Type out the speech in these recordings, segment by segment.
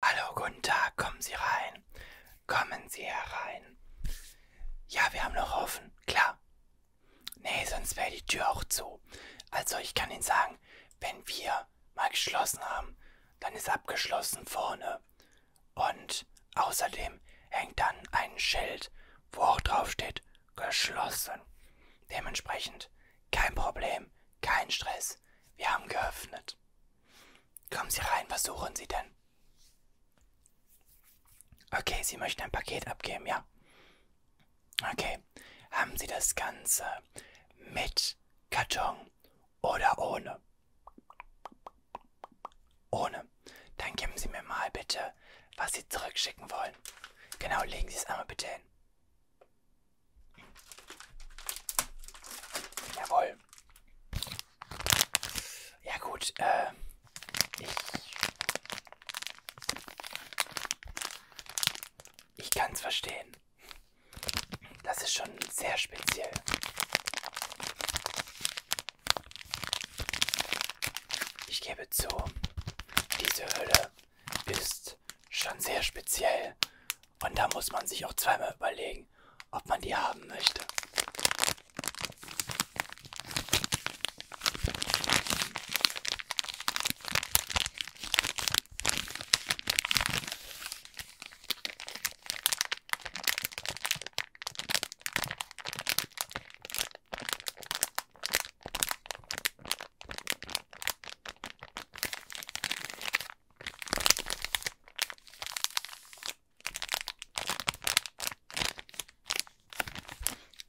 Hallo, guten Tag, kommen Sie rein. Kommen Sie herein. Ja, wir haben noch offen, klar. Nee, sonst wäre die Tür auch zu. Also ich kann Ihnen sagen, wenn wir mal geschlossen haben, dann ist abgeschlossen vorne. Und außerdem hängt dann ein Schild, wo auch drauf steht, geschlossen. Dementsprechend kein Problem, kein Stress. Wir haben geöffnet. Kommen Sie rein, was suchen Sie denn? Okay, Sie möchten ein Paket abgeben, ja. Okay, haben Sie das Ganze mit Karton oder ohne? Ohne. Dann geben Sie mir mal bitte, was Sie zurückschicken wollen. Genau, legen Sie es einmal bitte hin. Jawohl. Ja gut, äh, ich, ich kann es verstehen. Das ist schon sehr speziell. Ich gebe zu, diese Hölle ist schon sehr speziell. Und da muss man sich auch zweimal überlegen, ob man die haben möchte.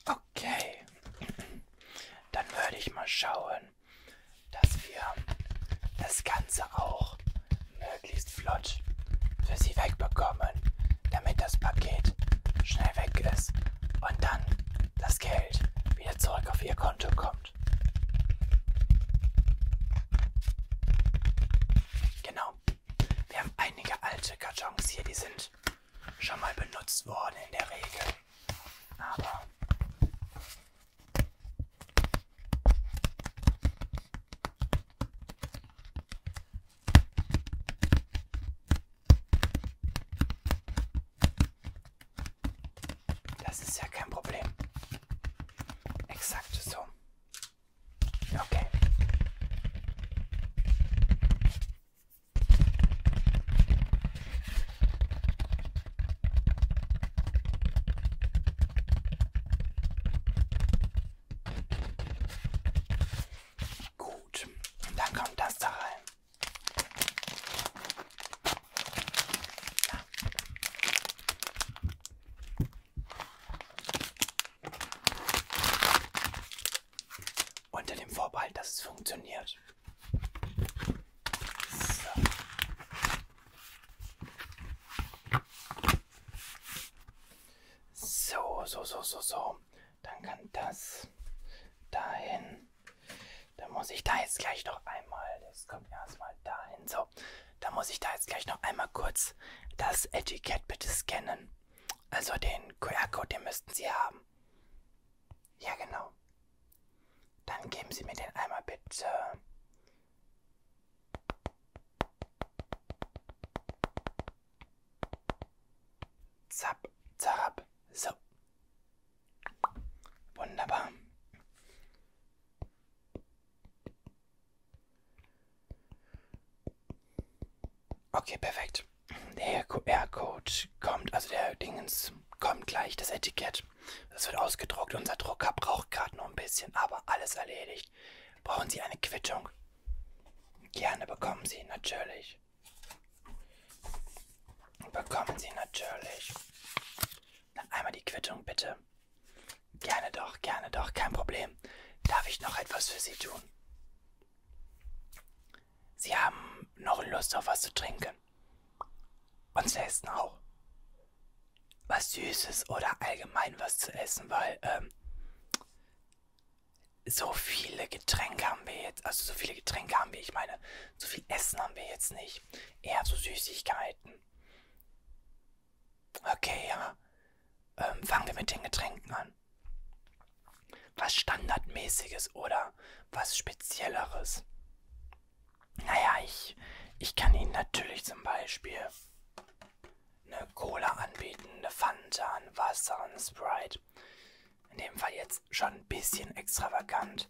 Okay, dann würde ich mal schauen, dass wir das Ganze auch möglichst flott für Sie wegbekommen, damit das Paket schnell weg ist und dann das Geld wieder zurück auf Ihr Konto kommt kommt. Genau. Wir haben einige alte Kartons hier, die sind schon mal benutzt worden in der Regel. Aber das ist ja kein Problem. Exakt so. Okay. Gut. Und dann kommt das da rein. Unter dem Vorbehalt, dass es funktioniert. So. so, so, so, so, so. Dann kann das dahin. Dann muss ich da jetzt gleich noch einmal, das kommt erstmal dahin, so. Da muss ich da jetzt gleich noch einmal kurz das Etikett bitte scannen. Also den QR-Code, den müssten Sie haben. Ja, genau. Dann geben Sie mir den einmal bitte. Zap, zap, so. Wunderbar. Okay, perfekt. Der QR-Code kommt, also der Dingens kommt gleich, das Etikett. Das wird ausgedruckt. Unser Drucker braucht gerade noch ein bisschen, aber alles erledigt. Brauchen Sie eine Quittung? Gerne bekommen Sie, natürlich bekommen Sie natürlich Na, einmal die Quittung, bitte. Gerne doch, gerne doch, kein Problem. Darf ich noch etwas für Sie tun? Sie haben noch Lust auf was zu trinken. Und zu essen auch. Was Süßes oder allgemein was zu essen, weil ähm, so viele Getränke haben wir jetzt, also so viele Getränke haben wir, ich meine, so viel Essen haben wir jetzt nicht eher so Süßigkeiten. Okay, ja. Ähm, fangen wir mit den Getränken an. Was Standardmäßiges oder was Spezielleres? Naja, ich, ich kann Ihnen natürlich zum Beispiel eine Cola anbieten, eine Fanta, ein Wasser, ein Sprite. In dem Fall jetzt schon ein bisschen extravagant.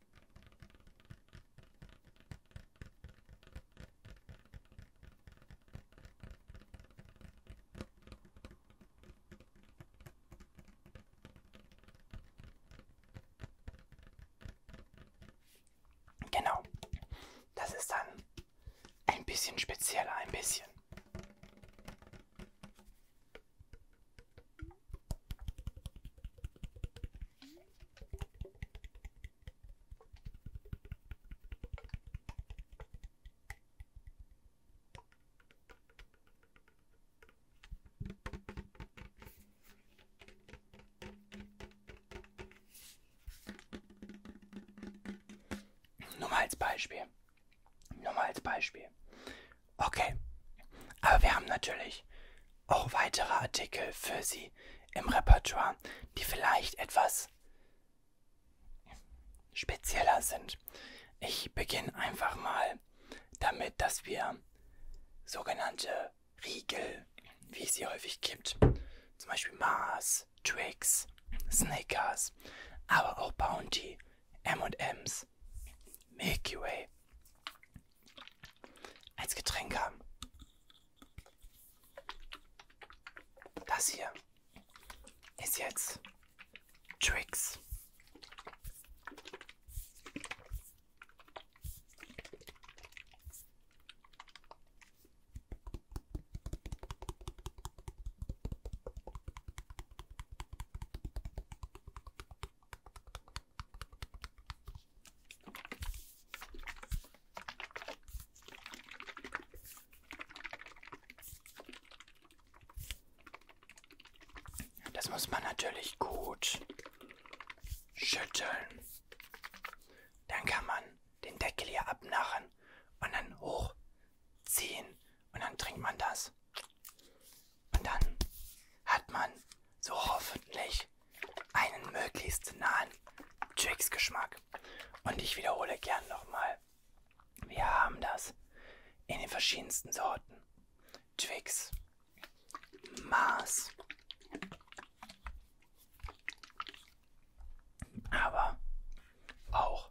Genau. Das ist dann ein bisschen spezieller, ein bisschen. Nur mal als Beispiel. Nur mal als Beispiel. Okay. Aber wir haben natürlich auch weitere Artikel für Sie im Repertoire, die vielleicht etwas spezieller sind. Ich beginne einfach mal damit, dass wir sogenannte Riegel, wie es sie häufig gibt, zum Beispiel Mars, Twix, Snickers, aber auch Bounty, M&M's, Mars, Milky Way als Getränk haben. Das hier ist jetzt Tricks. Das muss man natürlich gut schütteln. Dann kann man den Deckel hier abnachen und dann hochziehen und dann trinkt man das. Und dann hat man so hoffentlich einen möglichst nahen Twix-Geschmack. Und ich wiederhole gern nochmal. Wir haben das in den verschiedensten Sorten. Twix, Mars. Aber auch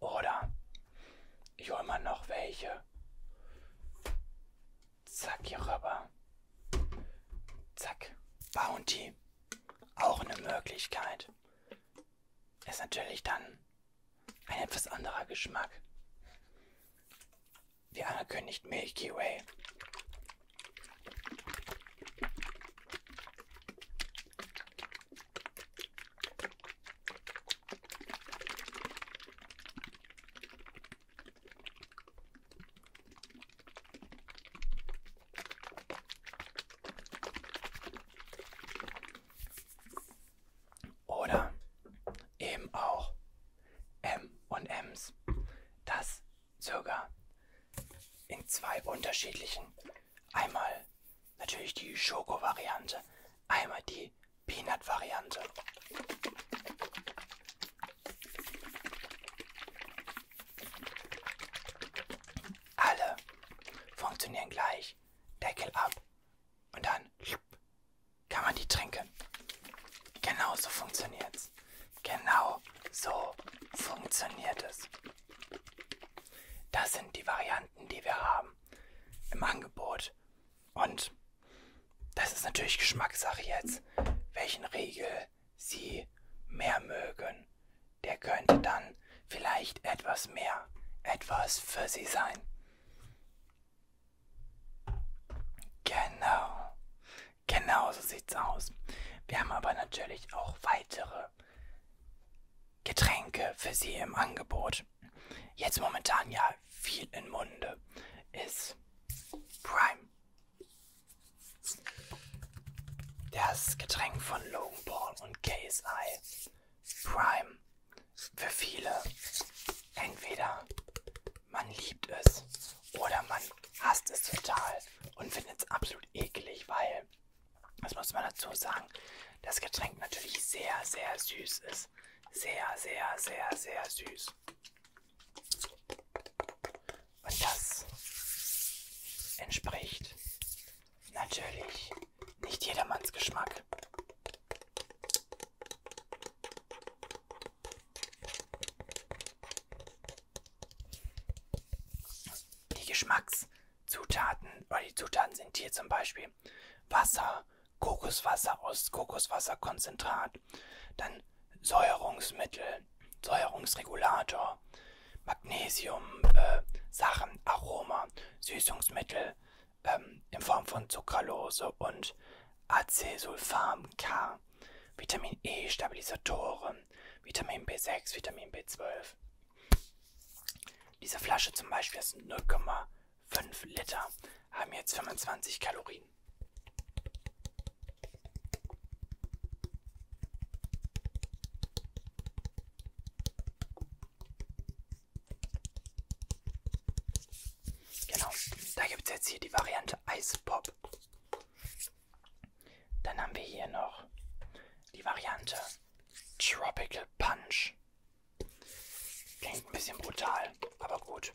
Oder ich hole mal noch welche. Zack, hier rüber. Zack, Bounty. Auch eine Möglichkeit. Ist natürlich dann ein etwas anderer Geschmack. Wie angekündigt, Milky Way. Oder eben auch M und M's, das circa in zwei unterschiedlichen Einmal natürlich die Schoko-Variante, einmal die Peanut-Variante. Alle funktionieren gleich. Deckel ab und dann kann man die trinken. Genau so funktioniert's. Genau so funktioniert es. Das sind die Varianten, die wir haben im Angebot. Und das ist natürlich Geschmackssache jetzt, welchen Riegel Sie mehr mögen. Der könnte dann vielleicht etwas mehr, etwas für Sie sein. Genau, genau so sieht's aus. Wir haben aber natürlich auch weitere Getränke für sie im Angebot. Jetzt momentan ja viel in Munde ist Prime. Das Getränk von Logan Paul und KSI. Prime. Für viele. Entweder man liebt es oder man hasst es total und findet es absolut eklig, weil das muss man dazu sagen. Das Getränk natürlich sehr, sehr süß ist. Sehr, sehr, sehr, sehr süß. Und das entspricht natürlich nicht jedermanns Geschmack. Die Geschmackszutaten oder die Zutaten sind hier zum Beispiel Wasser, Kokoswasser aus Kokoswasserkonzentrat, dann Säuerungsmittel, Säuerungsregulator, Magnesium, äh, Sachen, Aroma, Süßungsmittel ähm, in Form von Zuckerlose und Acesulfam K, Vitamin E, Stabilisatoren Vitamin B6, Vitamin B12. Diese Flasche zum Beispiel, das sind 0,5 Liter, haben jetzt 25 Kalorien. Genau, da gibt es jetzt hier die Variante Eispop. Dann haben wir hier noch die Variante Tropical Punch. Klingt ein bisschen brutal, aber gut.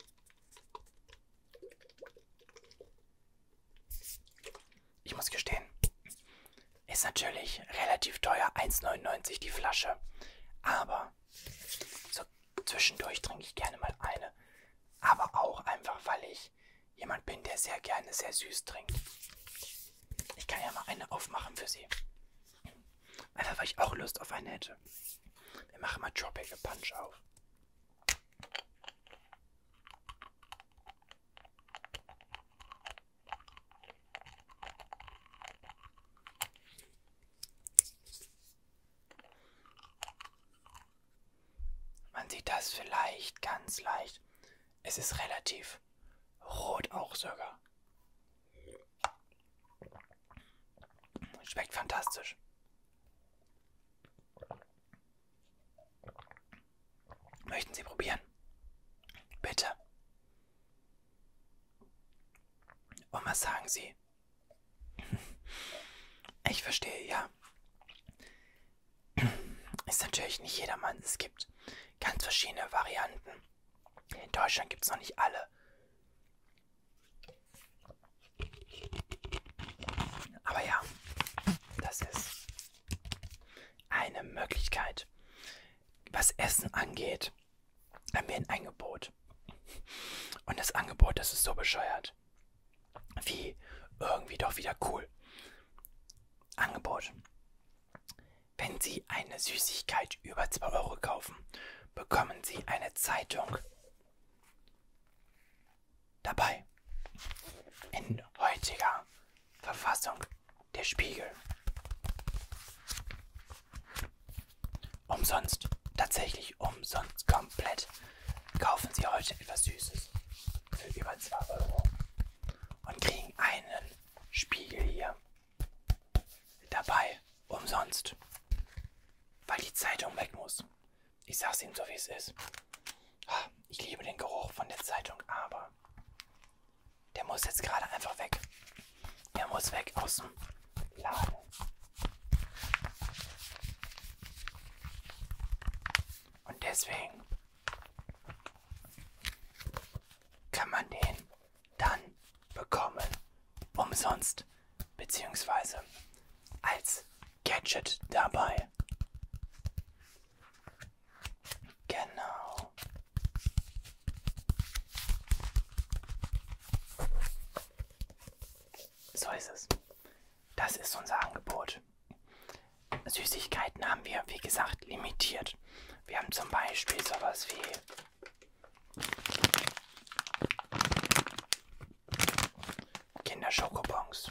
Ich muss gestehen, ist natürlich relativ teuer, 1,99 die Flasche. Aber so zwischendurch trinke ich gerne mal eine. Aber auch einfach, weil ich jemand bin, der sehr gerne sehr süß trinkt. Ich kann ja mal eine aufmachen für Sie. Einfach weil ich auch Lust auf eine hätte. Wir machen mal Tropical Punch auf. Man sieht das vielleicht ganz leicht. Es ist relativ rot auch sogar. Schmeckt fantastisch. Möchten Sie probieren? Bitte. Und was sagen Sie? Ich verstehe, ja ist natürlich nicht jedermann. Es gibt ganz verschiedene Varianten. In Deutschland gibt es noch nicht alle. Aber ja, das ist eine Möglichkeit. Was Essen angeht, haben wir ein Angebot. Und das Angebot, das ist so bescheuert wie irgendwie doch wieder cool. Angebot. Wenn Sie eine Süßigkeit über 2 Euro kaufen, bekommen Sie eine Zeitung dabei. In heutiger Verfassung der Spiegel. Umsonst, tatsächlich umsonst komplett, kaufen Sie heute etwas Süßes für über 2 Euro und kriegen einen Spiegel hier dabei umsonst, weil die Zeitung weg muss. Ich sag's ihm so, wie es ist. Ich liebe den Geruch von der Zeitung, aber der muss jetzt gerade einfach weg. Der muss weg aus dem Laden. Und deswegen kann man den dann bekommen. Umsonst. Beziehungsweise als Gadget dabei. Genau. So ist es. Das ist unser Angebot. Und Süßigkeiten haben wir, wie gesagt, limitiert. Wir haben zum Beispiel sowas wie Kinderschokobons.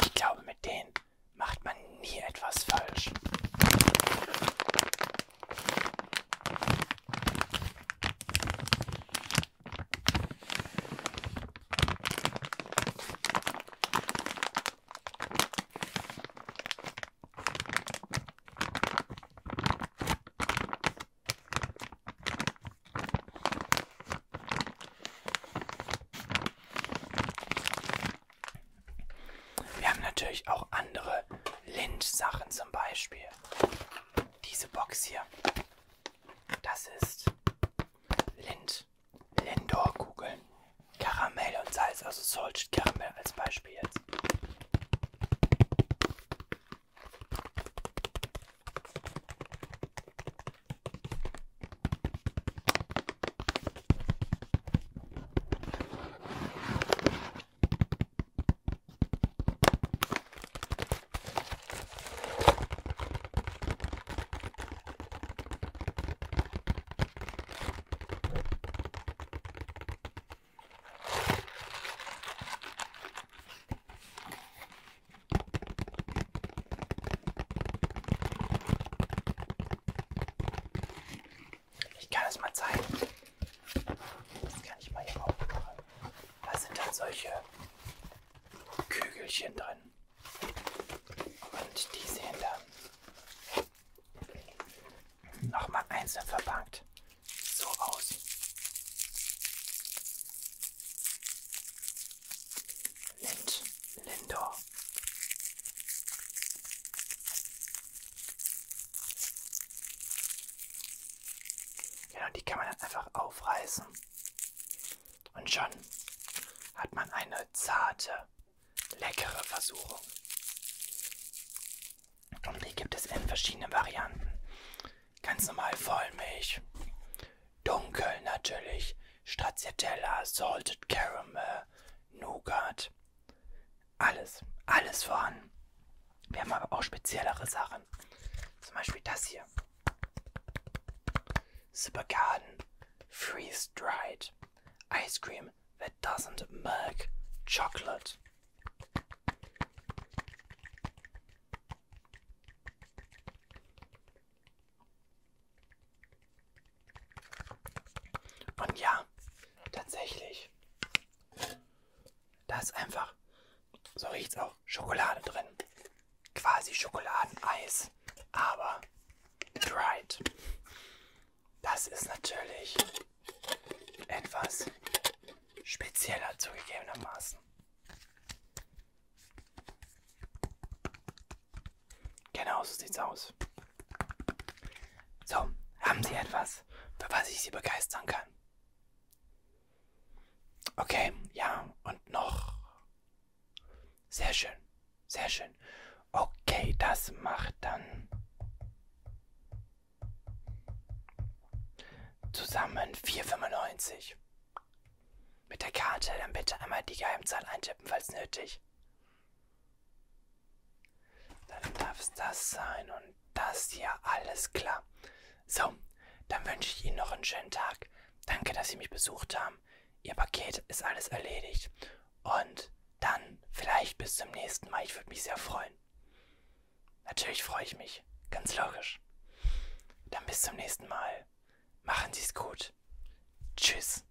Ich glaube, mit denen macht man nie etwas falsch. Wir haben natürlich auch andere Lynch-Sachen zum Beispiel. Diese Box hier. Das ist Lind. Lindor-Kugeln, Karamell und Salz, also Salted Karamell als Beispiel jetzt. Ich kann es mal zeigen. Das kann ich mal hier aufmachen. Da sind dann solche Kügelchen drin. Und die sehen dann nochmal einzeln verpackt so aus. Lind, Lindor. Genau, die kann man dann einfach aufreißen. Und schon hat man eine zarte Leckere Versuchung. Und die gibt es in verschiedenen Varianten. Ganz normal Vollmilch, dunkel natürlich, Stracciatella, Salted Caramel, Nougat. Alles, alles vorhanden. Wir haben aber auch speziellere Sachen. Zum Beispiel das hier. Supergarden Freeze Dried ice cream that doesn't milk chocolate. Und ja, tatsächlich. Da ist einfach, so riecht's auch, Schokolade drin. Quasi Schokoladeneis, aber Dried. Das ist natürlich etwas spezieller zugegebenermaßen. Genau so sieht's aus. So, haben Sie etwas, für was ich Sie begeistern kann? Okay, ja, und noch sehr schön, sehr schön. Okay, das macht dann zusammen 4,95. Mit der Karte dann bitte einmal die Geheimzahl eintippen, falls nötig. Dann darf es das sein und das hier, alles klar. So, dann wünsche ich Ihnen noch einen schönen Tag. Danke, dass Sie mich besucht haben ihr Paket ist alles erledigt. Und dann vielleicht bis zum nächsten Mal. Ich würde mich sehr freuen. Natürlich freue ich mich. Ganz logisch. Dann bis zum nächsten Mal. Machen Sie es gut. Tschüss.